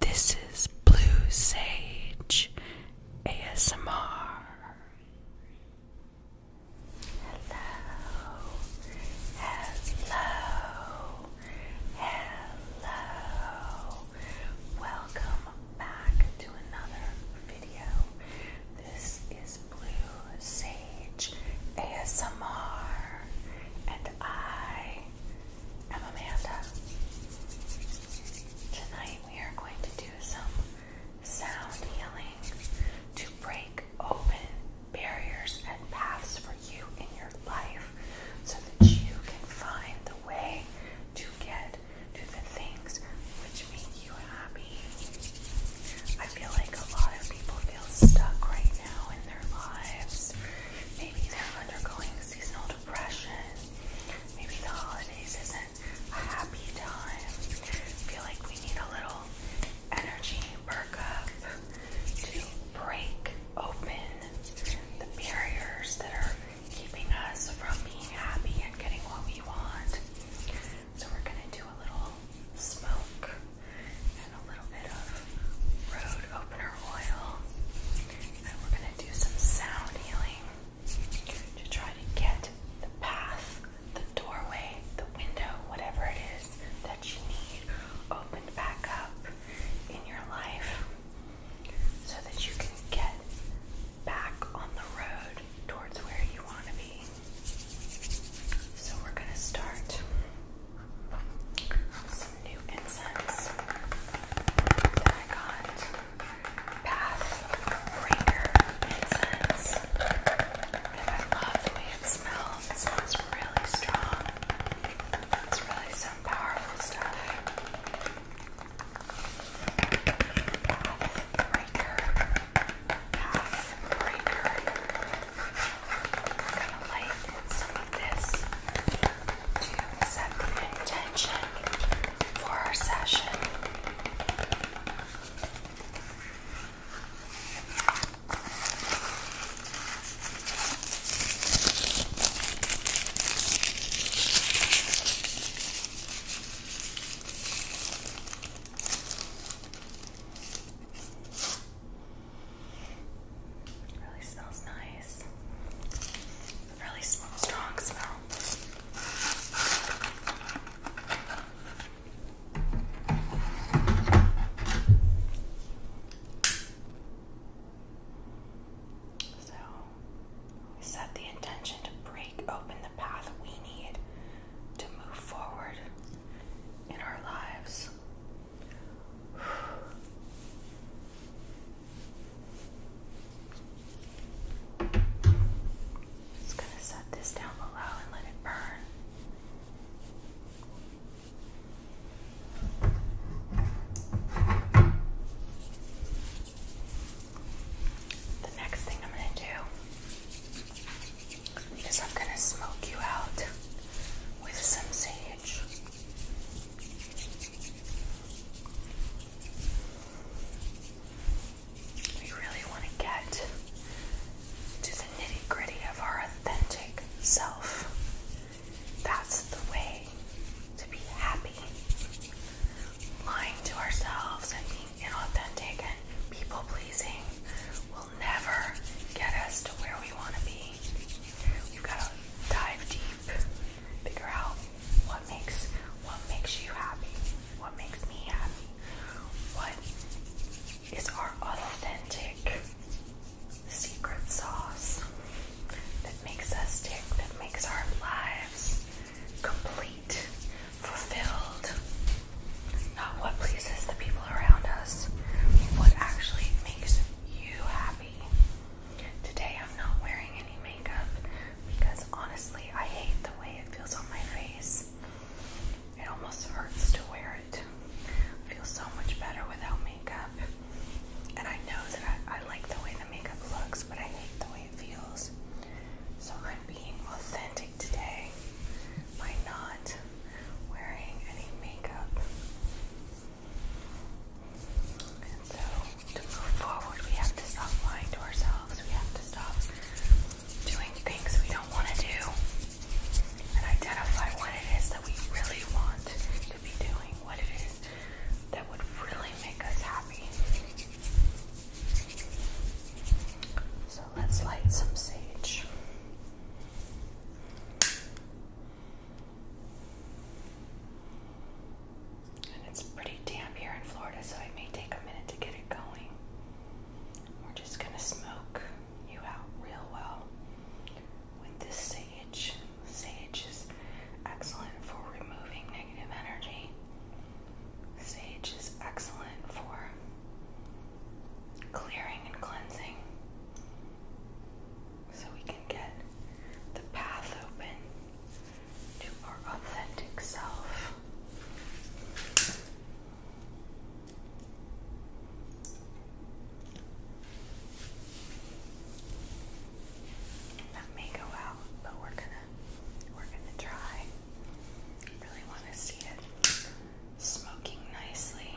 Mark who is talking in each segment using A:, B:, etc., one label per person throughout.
A: This is Blue Sage ASMR. Hello, hello, hello. Welcome back to another video. This is Blue Sage ASMR, and I am Amanda. Tonight we are going to do some sound healing to break open barriers and paths for you in your life so that you can find the way to get to the things which make you happy. I feel like a lot of people feel stuck right now in their lives. Maybe they're undergoing seasonal depression. Maybe the holidays isn't a happy time. Feel like we need a little energy perk up to break open the barriers that are keeping us from being happy and getting what we want. So we're gonna do a little smoke and a little bit of road opener oil and we're going to do some sound healing to try to get the path, the doorway, the window, whatever it is that you need opened back up in your life so that you can get back on the road towards where you want to be. So we're going to start some new incense that I got. Pathbringer incense. And I love the way it smells. It smells really strong. It's really some powerful stuff. Pathbringer. Pathbringer. Kind of light some of this to set the intention for our session. Really smells nice. Really strong smell. So, we set the intention to break open the path we need to move forward in our lives. Just going to set this down below and let it burn. The next thing I'm going to do is I'm going to smoke you out with some sage. We really want to get to the nitty gritty of our authentic self. That's the way to be happy. Lying to ourselves and being inauthentic and people pleasing will never get us to where we want to be. You gotta dive deep, figure out what makes what makes you happy, what makes me happy, what is our authentic secret sauce that makes us tick, that makes our lives complete, fulfilled. Not what pleases the people around us, what actually makes you happy. Today I'm not wearing any makeup because honestly I hate the way it feels on my face. It almost hurts to wear it. I feel so much better without makeup. And I know that I, I like the way the makeup looks, but I hate the way it feels. So I'm being authentic today by not wearing any makeup. And so, to move forward, we have to stop lying to ourselves. We have to stop doing things we don't want to do and identify what it is that we really want to be doing, what it is that would really make us happy. So, let's light some sage. And it's pretty damp here in Florida, so it may take a minute to get it going. We're just going to smoke you out real well with this sage. Sage is excellent for removing negative energy. Sage is excellent for clearing and cleansing so we can get the path open to our authentic self. That may go out, but we're gonna we're gonna try. Really want to see it smoking nicely.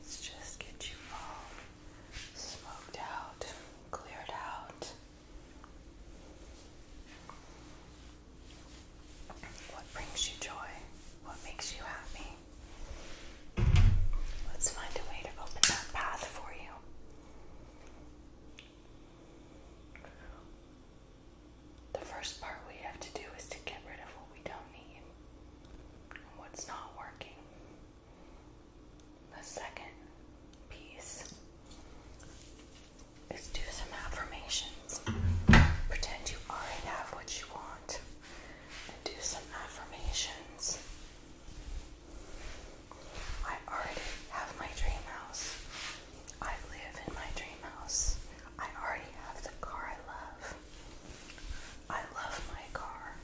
A: Let's just get you all smoked out, cleared out. What brings you joy? What makes you happy? Let's find a way to open that path for you. The first part we have to do is to get rid of what we don't need and what's not working. The second piece is do some affirmations. Pretend you already have what you want and do some affirmations. I already have my dream house. I live in my dream house. I already have the car I love. I love my car.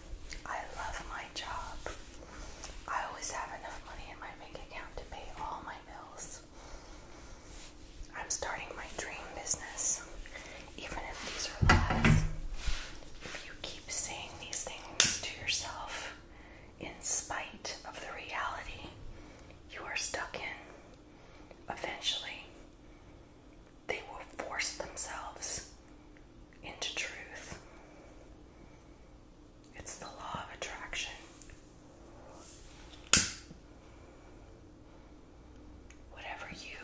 A: I love my job. I always have enough money in my bank account to pay all my bills. I'm starting my dream business. Even if these are lies, if you keep saying these things to yourself in spite of the reality you are stuck in, eventually they will force themselves into truth. It's the law of attraction. Whatever you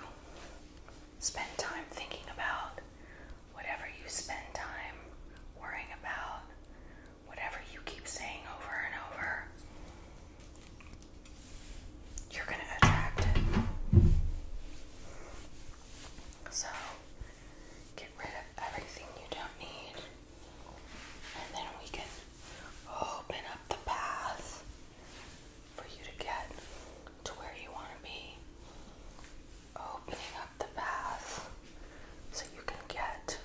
A: spend time thinking about, whatever you spend time worrying about, whatever you keep saying over and over, you're going to attract it. So, rid of everything you don't need, and then we can open up the path for you to get to where you want to be. Opening up the path so you can get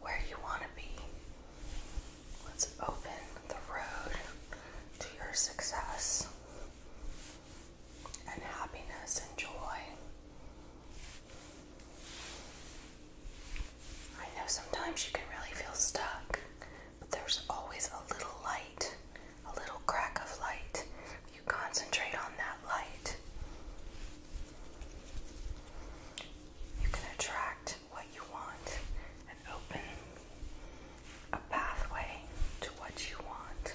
A: where you want to be. Let's open the road to your success and happiness and joy. I know sometimes you can really feel stuck, but there's always a little light, a little crack of light. If You concentrate on that light. You can attract what you want and open a pathway to what you want.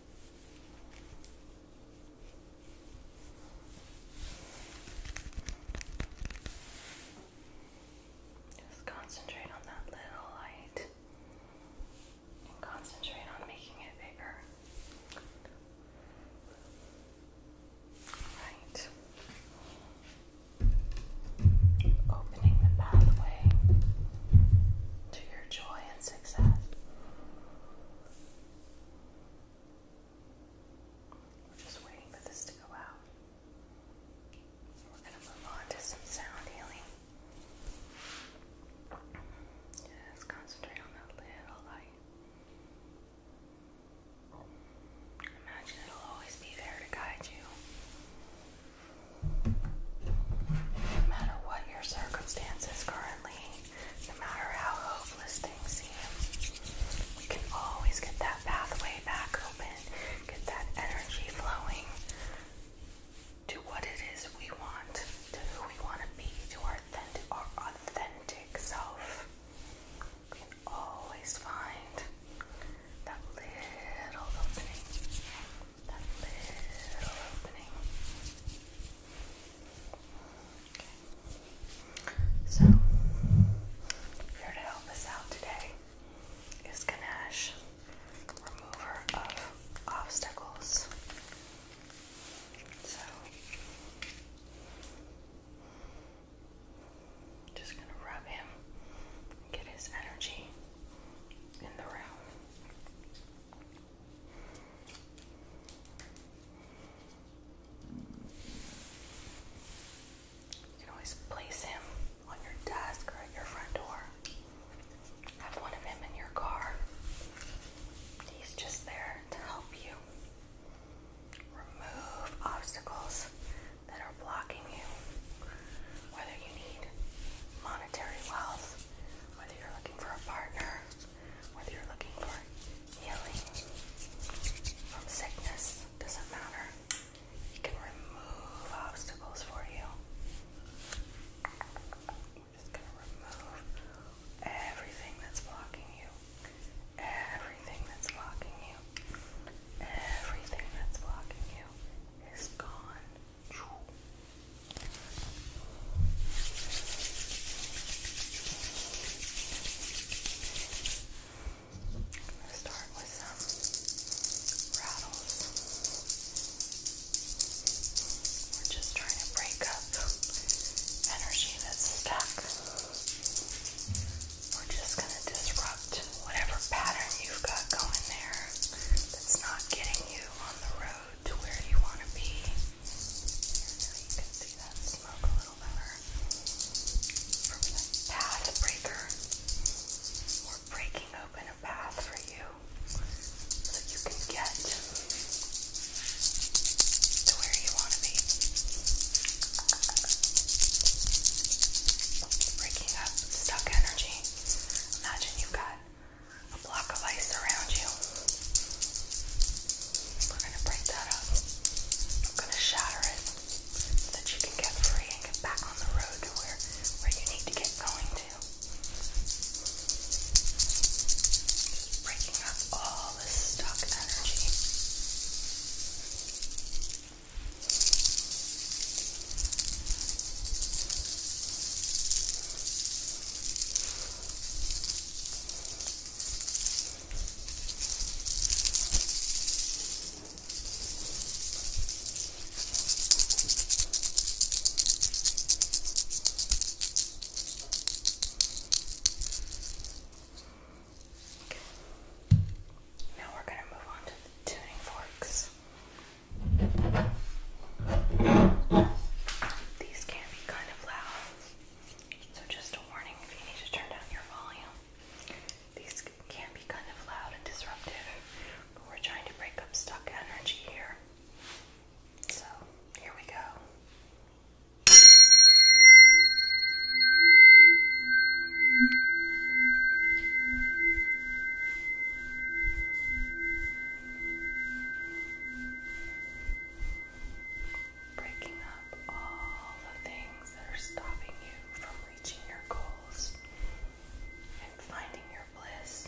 A: Just concentrate on that little light concentrate on making it bigger. Right. Opening the pathway to your joy and success. We're just waiting for this to go out. We're going to move on to some sound healing. Just concentrate on that little light. Imagine it'll always be there to guide you. No matter what your circumstances currently, no matter how hopeless things seem. We can always get that pathway back open, get that energy flowing to what it is we want, to who we want to be, to our authentic, self. We can always find that little opening, that little opening. Okay. So, here to help us out today is Ganesh, remover of obstacles. So, just going to rub him, get his energy in the room. You can always place him on your desk or at your front door. Have one of him in your car. He's just there to help you remove obstacles that are blocking you. Whether you need monetary wealth, whether you're looking for a partner, whether you're looking for healing from sickness, doesn't matter. He can remove obstacles for you. We're just going to remove everything that's blocking you. Everything that's blocking you. Everything that's blocking you is gone i start with some rattles. We're just trying to break up energy that's stuck. We're just gonna disrupt whatever pattern you've got going there that's not getting you on the road to where you want to be. Here, you can see that smoke a little better. From the path we're breaking open a path for you so you can get to where you want to be. Breaking up stuck energy. Imagine you got a block of ice around you. We're going to break that up. I'm going to shatter it so that you can get free and get back on the road to where, where you need to get going to. Just breaking up all the stuck energy. Now we're going to move on to the tuning forks. These can be kind of loud, so just a warning if you need to turn down your volume. These can be kind of loud and disruptive, but we're trying to break up stuck energy here. So, here we go. Breaking up all the things that are stopping you from reaching your goals and finding your bliss.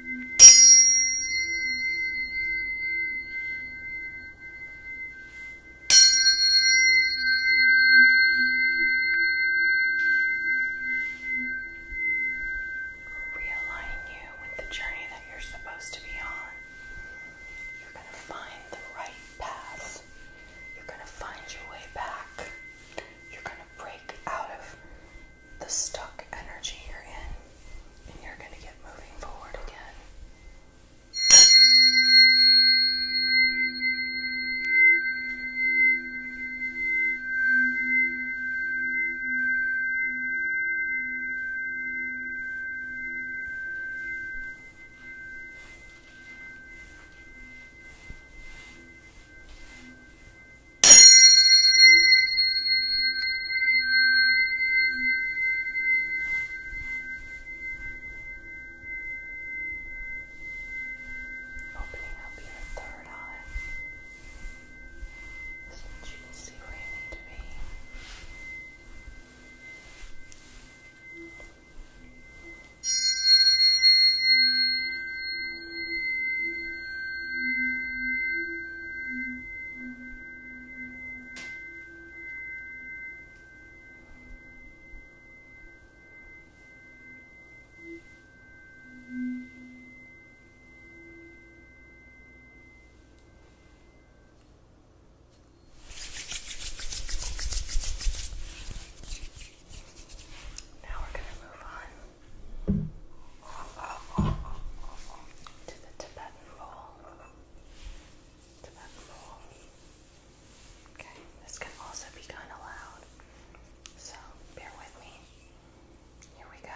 A: Realign you with the journey that you're supposed to be on. You're going to find the right path. You're going to find your way back. You're going to break out of the stuck energy you're in, and you're going to get moving forward again. Opening up your third eye so that you can see where you need to be. Opening now we're going to move on to the Tibetan and roll. Tap and roll. Okay, this can also be kind of loud, so bear with me. Here we go.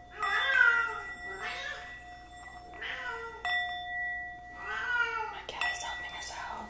A: My cat is helping us out.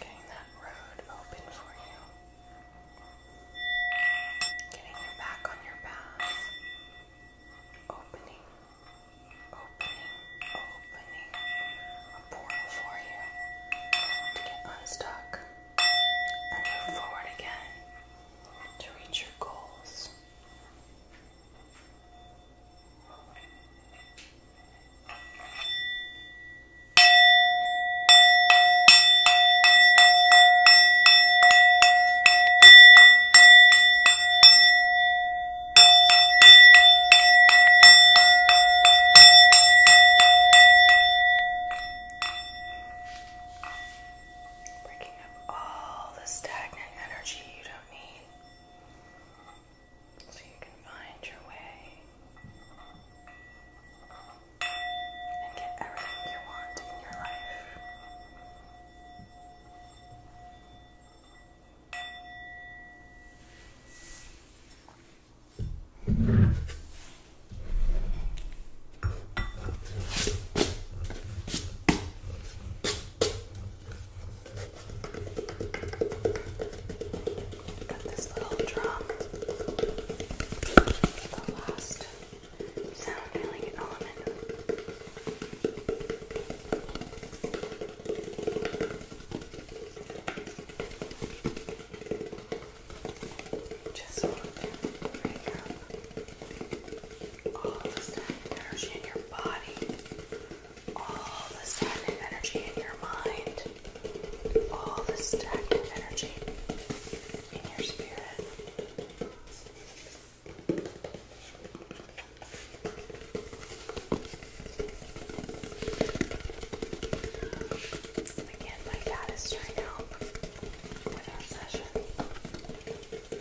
A: Getting that road open for you. Getting you back on your path. Opening, opening, opening a portal for you to get unstuck and move forward again to reach your goals. Breaking up all the stagnant energy you don't need so you can find your way and get everything you want in your life. Got this little drum. The last sound healing element. Just want to break up all the stagnant energy in your body, all the stagnant energy in your mind, all the stagnant energy in your spirit. Again, my cat trying to help with our session.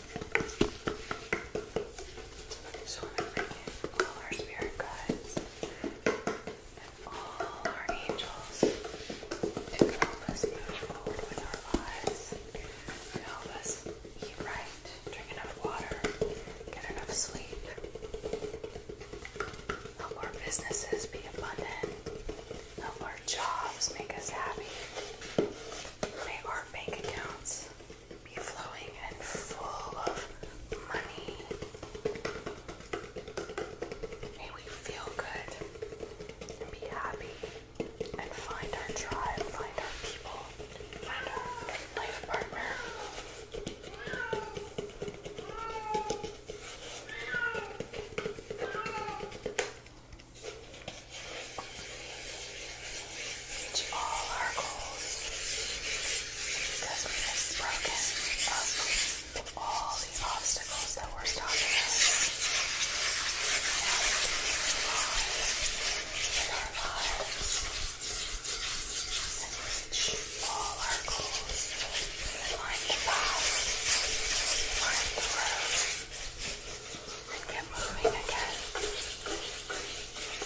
A: So we're bringing all our spirit guides and all our angels to help us move forward with our lives, to help us eat right, drink enough water, get enough sleep, help our businesses be abundant, help our jobs make us happy, may our bank accounts be flowing and full of money. May we feel good and be happy and find our tribe, find our people, find our life partner to all our goals because we have broken up all the obstacles that were stopping us. in our lives and reach all our goals find the path, find the road, and get moving again.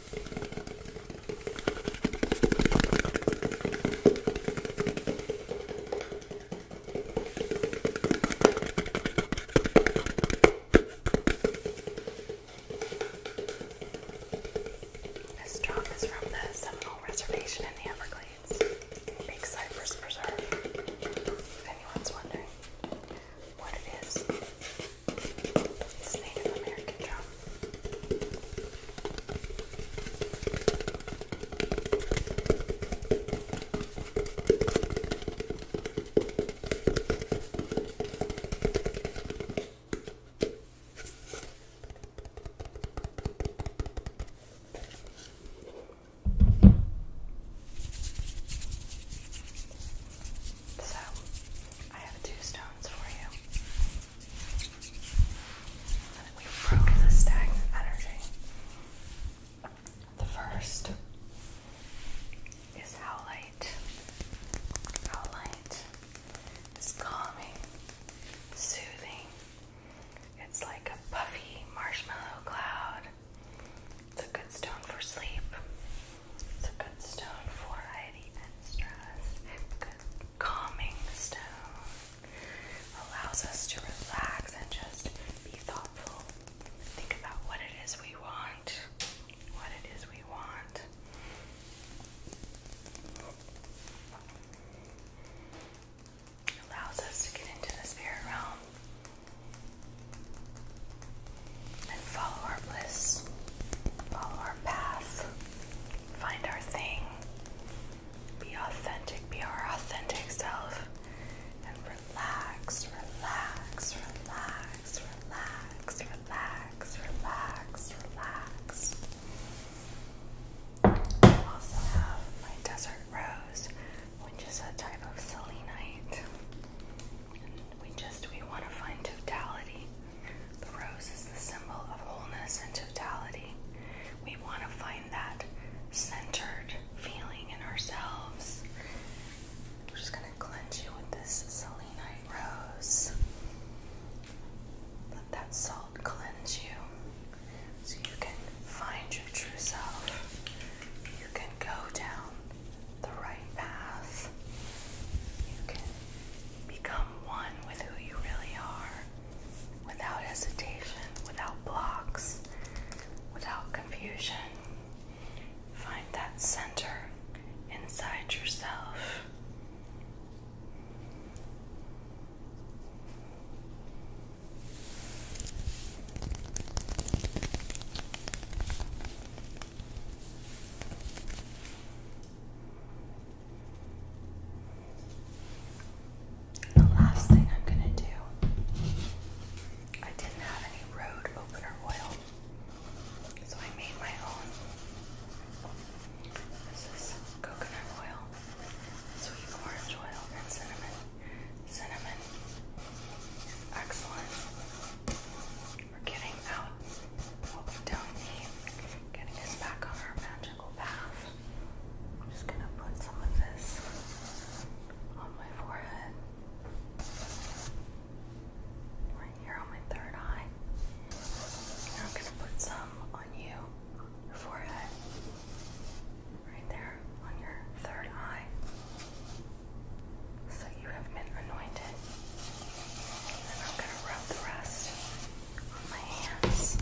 A: This drum is from the Seminole Reservation in the Everglades, Big Cypress Preserve. If anyone's wondering what it is, it's Native American drum. So, I have two stones for you we broke the stagnant energy. The first is how light, how light is calming, soothing. It's like a puffy marshmallow cloud. It's a good stone for sleep. It's a good stone for anxiety stress calming stone allows us to relax and just be thoughtful. Think about what it is we want. What it is we want. It allows us to get into the spirit realm and follow our bliss, follow our path, find our thing, be authentic, be our authentic self, and relax, relax, relax, relax, relax, relax, relax. also have my desert rose, which is a type of selenite. we just we want to find totality. The rose is the symbol of wholeness and totality. We want to find that centered feeling in ourselves. We're just going to cleanse you with this selenite rose. Let that salt cleanse you so you can find your true self. You can go down the right path. You can Become one with who you really are without hesitation, without blocks, without confusion. Find that center inside yourself. The last thing I'm going to do, I didn't have any road opener oil, so I made my own. This is coconut oil, sweet orange oil, and cinnamon. Cinnamon excellent we're getting out we don't need, getting us back on our magical path. I'm just gonna put some of this on my forehead, right here on my third eye. And I'm gonna put some on you, your forehead, right there on your third eye. So that you have been anointed. I'm going to rub the rest on my hands.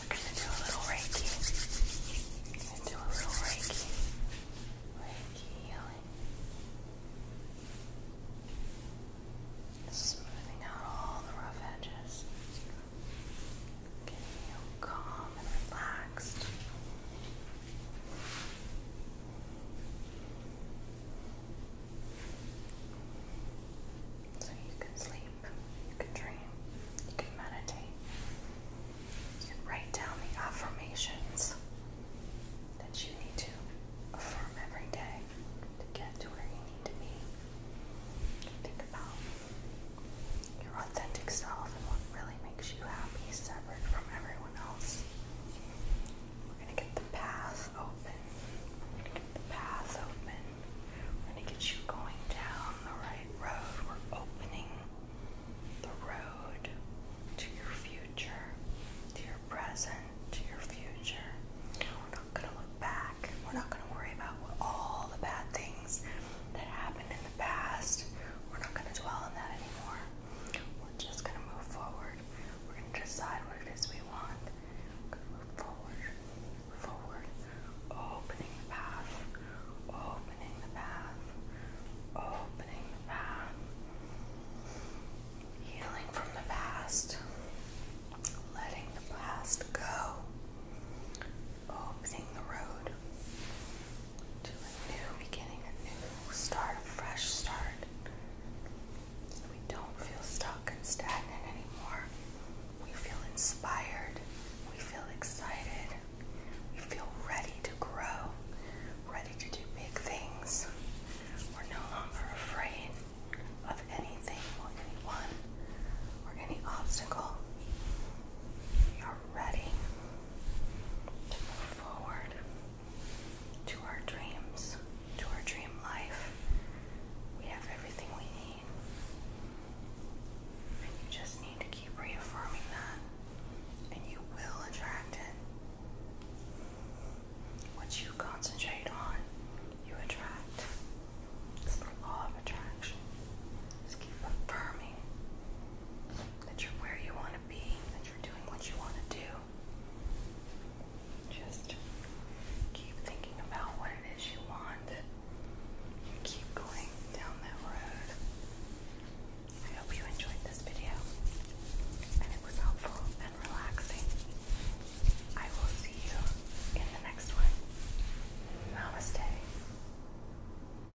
A: We're going to do a little Reiki. do a little Reiki. Reiki Smoothing out all the rough edges. Getting you calm and relaxed. So you can sleep, you can dream, you can meditate, you can write down the affirmations that you need to affirm every day to get to where you need to be. think about your authentic self and what makes you happy, separate from everyone else. We're gonna get the path open. the path open. We're gonna get you going down the right road. We're opening the road to your future, to your present, to your future. We're not gonna look back. We're not gonna worry about all the bad things that happened in the past. We're not gonna dwell on that anymore. We're just gonna move forward. We're gonna decide what it is we want. We're gonna move forward, forward, opening the path, opening the path, opening the path, healing from the past, letting the past go, opening the road, to a new beginning, a new start, a fresh start. we don't feel stuck and stagnant anymore. We feel inspired. We feel excited. We feel ready to grow, ready to do big things. We're no longer afraid of anything or anyone or any obstacle. We are ready to move forward to our dreams, to our dream life. We have everything we need. And you just need to keep reaffirming that. And you will attract it. What you concentrate on, you attract. It's the law of attraction. Just keep affirming that you're where you want to be, that you're doing what you want to do. Just keep thinking about what it is you want. keep going down that road. I hope you enjoyed this video and it was helpful and relaxing. I will see you in the next one. Namaste.